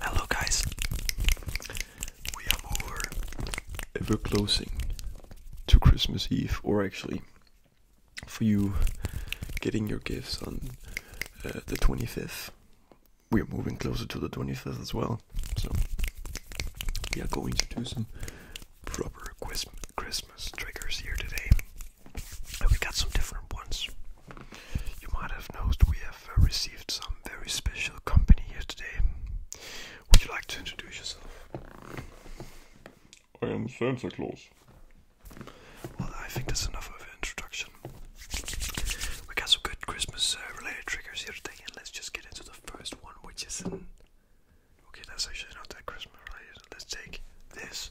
Hello guys, we are moving ever closing to Christmas Eve, or actually for you getting your gifts on uh, the 25th. We are moving closer to the 25th as well, so we are going to do some proper Christmas triggers here today. And we got some different ones. You might have noticed we have uh, received some very special company here today. Would you like to introduce yourself? I am Santa Claus. Well, I think that's enough of an introduction. We got some good Christmas uh, related triggers here today, and let's just get into the first one, which is an. Okay, that's actually not that Christmas related. Let's take this.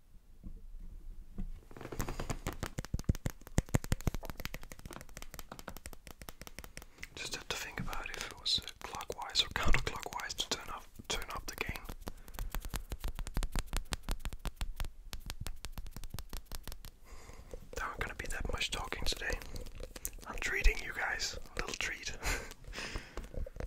Just have to think about if it was clockwise or counterclockwise to turn up the gain. There aren't gonna be that much talking today. I'm treating you guys. A little treat.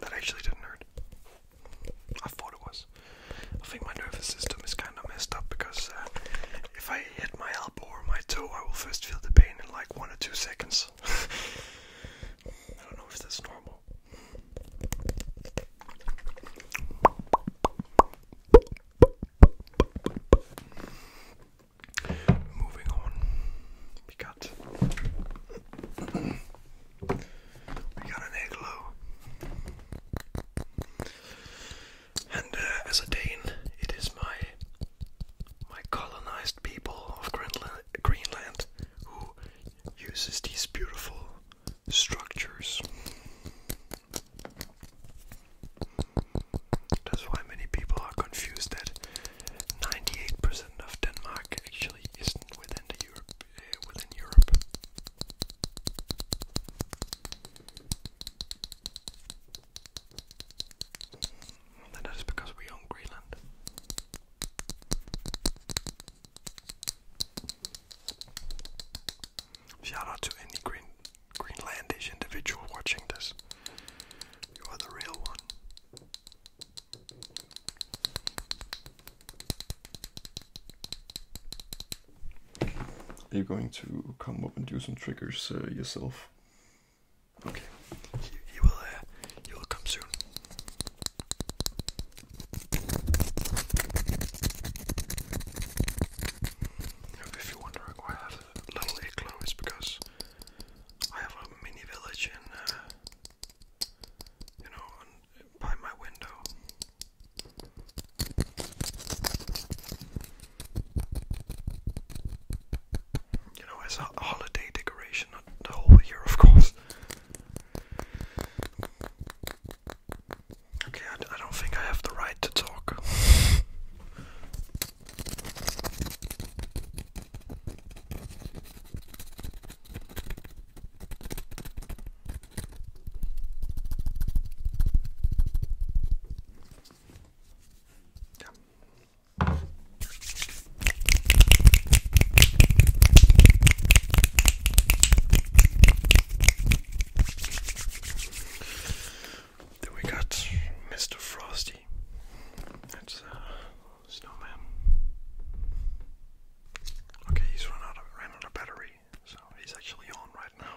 That actually didn't hurt. I thought it was. I think my nervous system is kind kind messed up because uh, if I hit my elbow or my toe, I will first feel the pain in like one or two seconds. I don't know if that's normal. Moving on, we got we got an igloo. And uh, as a Dane, it is my my colonized people of Greenland, who uses these beautiful structures. That's why many people are confused that 98% of Denmark actually isn't within Europe. Uh, that is because we own Greenland. Shout out to any Green Greenlandish individual watching this. You are the real one. Are you going to come up and do some triggers uh, yourself? Okay. You, will. Uh, will come soon. If you're wondering why I have a little igloo, it's because I have a mini village in, uh, you know, you know, as a holiday decoration, the whole year, of course. Okay, I don't think I have the right to talk. Then we got Mr. Frosty. That's a uh, snowman. Okay, he's run out of ran out of battery so he's actually on right now.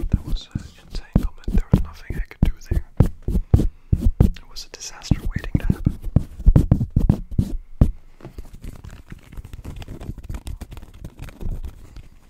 That was an insane comment. There was nothing I could do there. It was a disaster waiting to happen.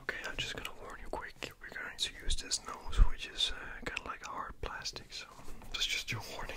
Okay, I'm just gonna warn you quick. We're going to use this nose, which is uh, kind of like hard plastic, so that's just your warning.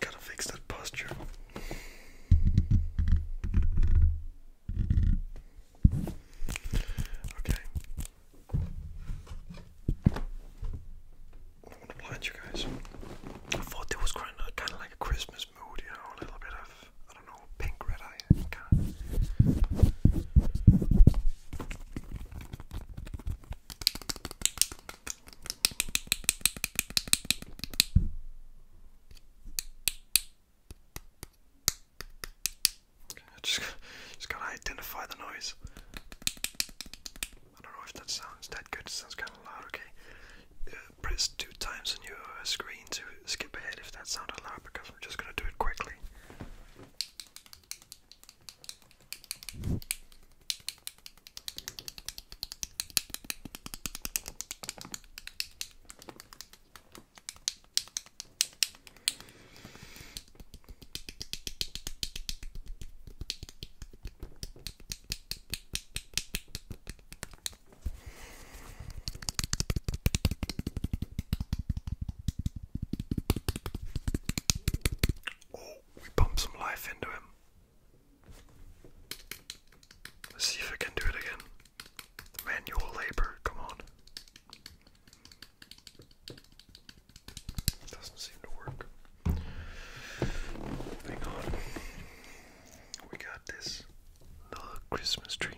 Gotta fix that posture. Okay. I want to blind you guys. I thought it was kind of, like a Christmas mood, you know, a little bit of, I don't know, pink red eye kind Okay, I just, just gotta identify the noise. I don't know if that sounds that good, sounds kind of loud, okay? Uh, press two times on your uh, screen to skip ahead if that sounded loud because I'm just gonna do it quickly. Oh, we pumped some life into him. Let's see if I can do it again. Manual labor, come on. Doesn't seem to work. Hang on. We got this another Christmas tree.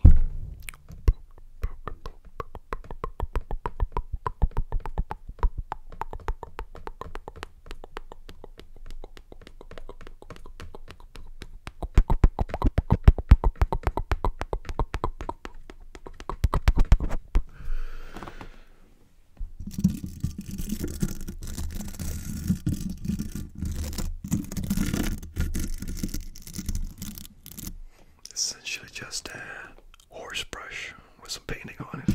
Essentially, just a horse brush with some painting on it.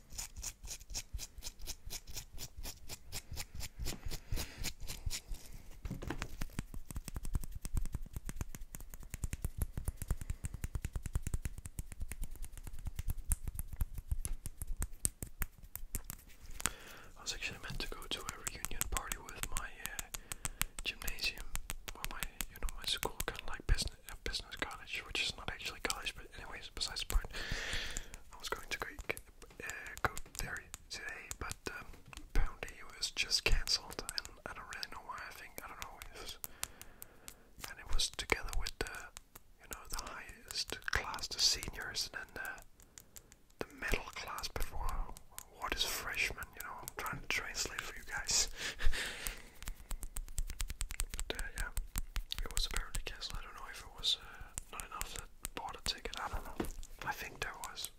I was actually meant to go to a reunion party with my uh, gymnasium, well, my you know my school kind of like uh, business college, which is not actually college, but anyways, besides the point, I was going to Greek uh, go there today, but um, apparently it was just cancelled, and I don't really know why. I think I don't know. and it was together with the, you know, the highest class, the seniors, and then the, middle class before. What is freshman? You know, I'm trying to translate for you guys. but uh, yeah, it was apparently cancelled. I don't know if it was. Uh, not enough that bought a ticket. I don't know. I think there was.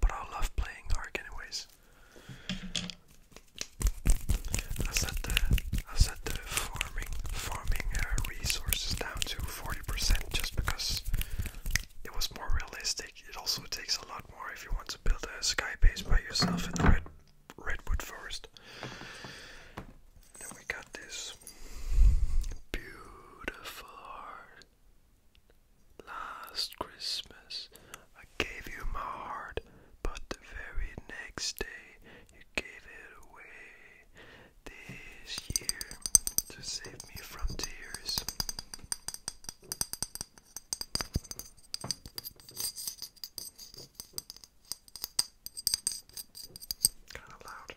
But I love playing Ark anyways. I set the I set the farming farming uh, resources down to 40% just because it was more realistic it also takes a lot more if you want to build a sky base by yourself in the red, redwood forest. Then we got this beautiful Last Christmas I gave you my heart, but the very next day you gave it away. This year to save me from tears. Kind of loud.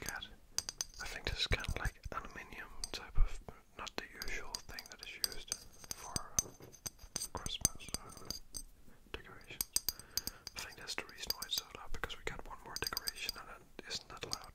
God, I think this is kind of like aluminium type of, not the usual thing that is used for uh, Christmas decorations. I think that's the reason why it's so loud because we got one more decoration and it isn't that loud.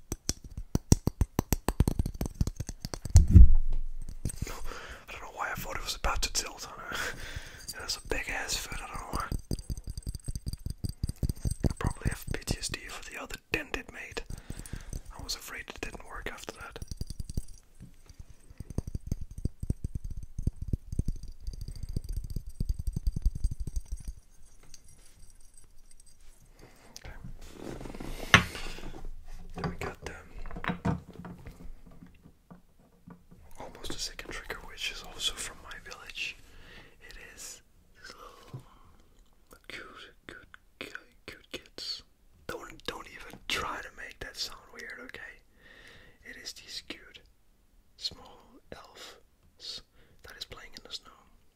I don't know why I thought it was about to tilt on her. That's a big ass foot, I don't know I probably have PTSD for the other dented mate. I was afraid it didn't work after that. Then we got them. Almost a second trigger, which is also from my village. It is these little cute, cute, cute kids. Don't don't even try to make that sound weird, okay? It is these cute small elves that is playing in the snow.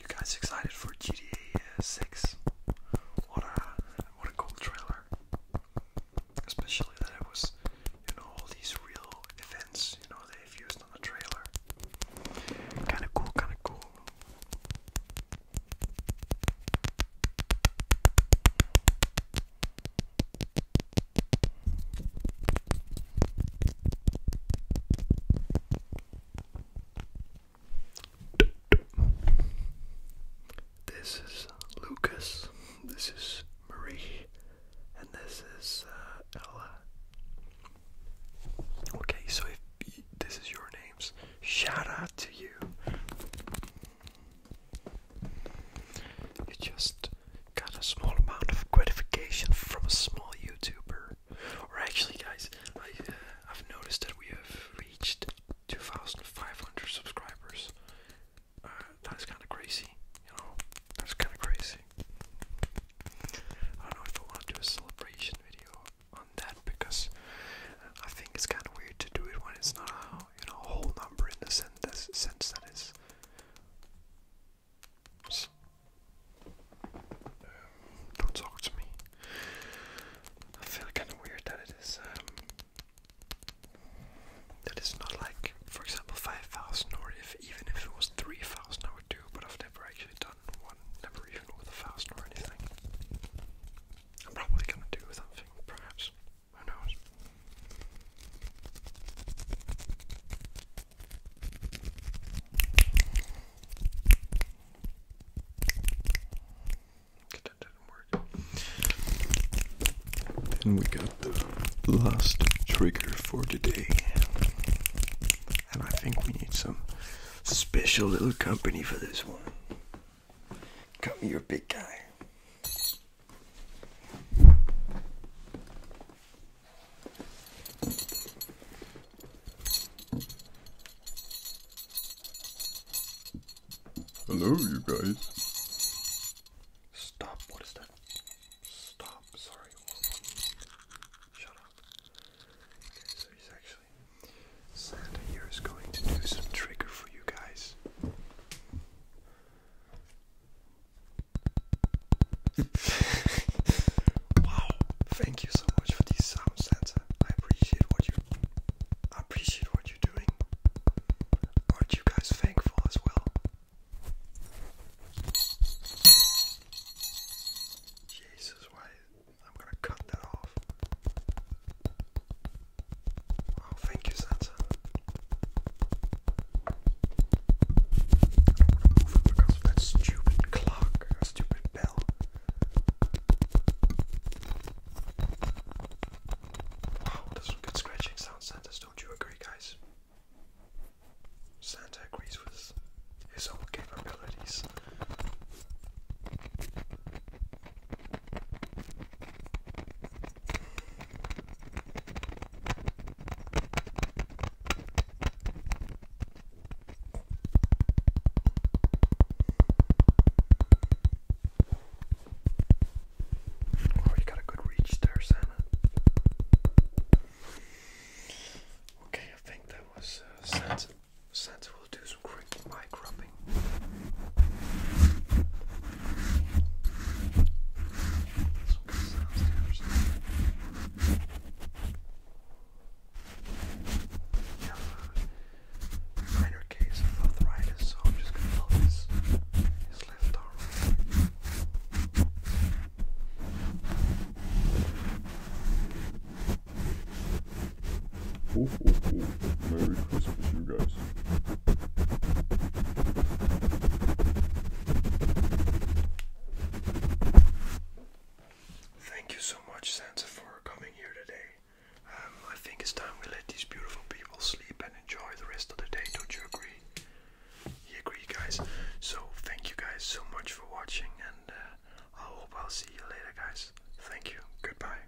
You guys excited for GTA 6? What a what a cool trailer. Especially that it was, you know, all these real events, you know, they've used on the trailer. Kinda cool, kinda cool. This is uh, Lucas, this is Marie, and this is uh, Ella. Okay, so if you, this is your names, shout out to you. You just got a small amount of gratification from a small YouTuber. Or actually, guys, I, have uh, noticed that we have reached 2,500 subscribers. Uh, that's kind of crazy, you know. That's kind of crazy. I don't know if I want to do a celebration video on that because uh, I think it's kind of weird to do it when it's not a you know, whole number in the sense, that is. Um, don't talk to me. I feel kind of weird that it is. Um, not like, for example, five thousand, or if even if it was three thousand, I would do. But I've never actually done one, never even with a thousand or anything. I'm probably gonna do something, perhaps. Who That didn't work. And we got the last trigger for today. And I think we need some special little company for this one. Come here, big guy. Hello, you guys. Stop. What is that? Stop. Sorry. Shut up. so he's actually. Santa here is going to do some trigger for you guys wow, thank you so much for these sound sensor. I appreciate what you I appreciate what you're doing. Aren't you guys thankful as well? Jesus, why I'm gonna cut that off. Oh, thank you, Santa. I because of that stupid clock, stupid bell. Wow, that's some good scratching sound, Santa. Don't you agree, guys? Santa agrees with his own capabilities. Oh, you got a good reach there, Santa. Okay, I think that was uh, Santa. Santa will do some quick mic rubbing tapping. I have a minor case of arthritis, so I'm just going to focus his left arm. Merry Christmas, you guys. Thank you so much, Santa, for coming here today. Um, I think it's time we let these beautiful people sleep and enjoy the rest of the day. Don't you agree? You agree, guys? So, thank you guys so much for watching, and uh, I hope I'll see you later, guys. Thank you. Goodbye.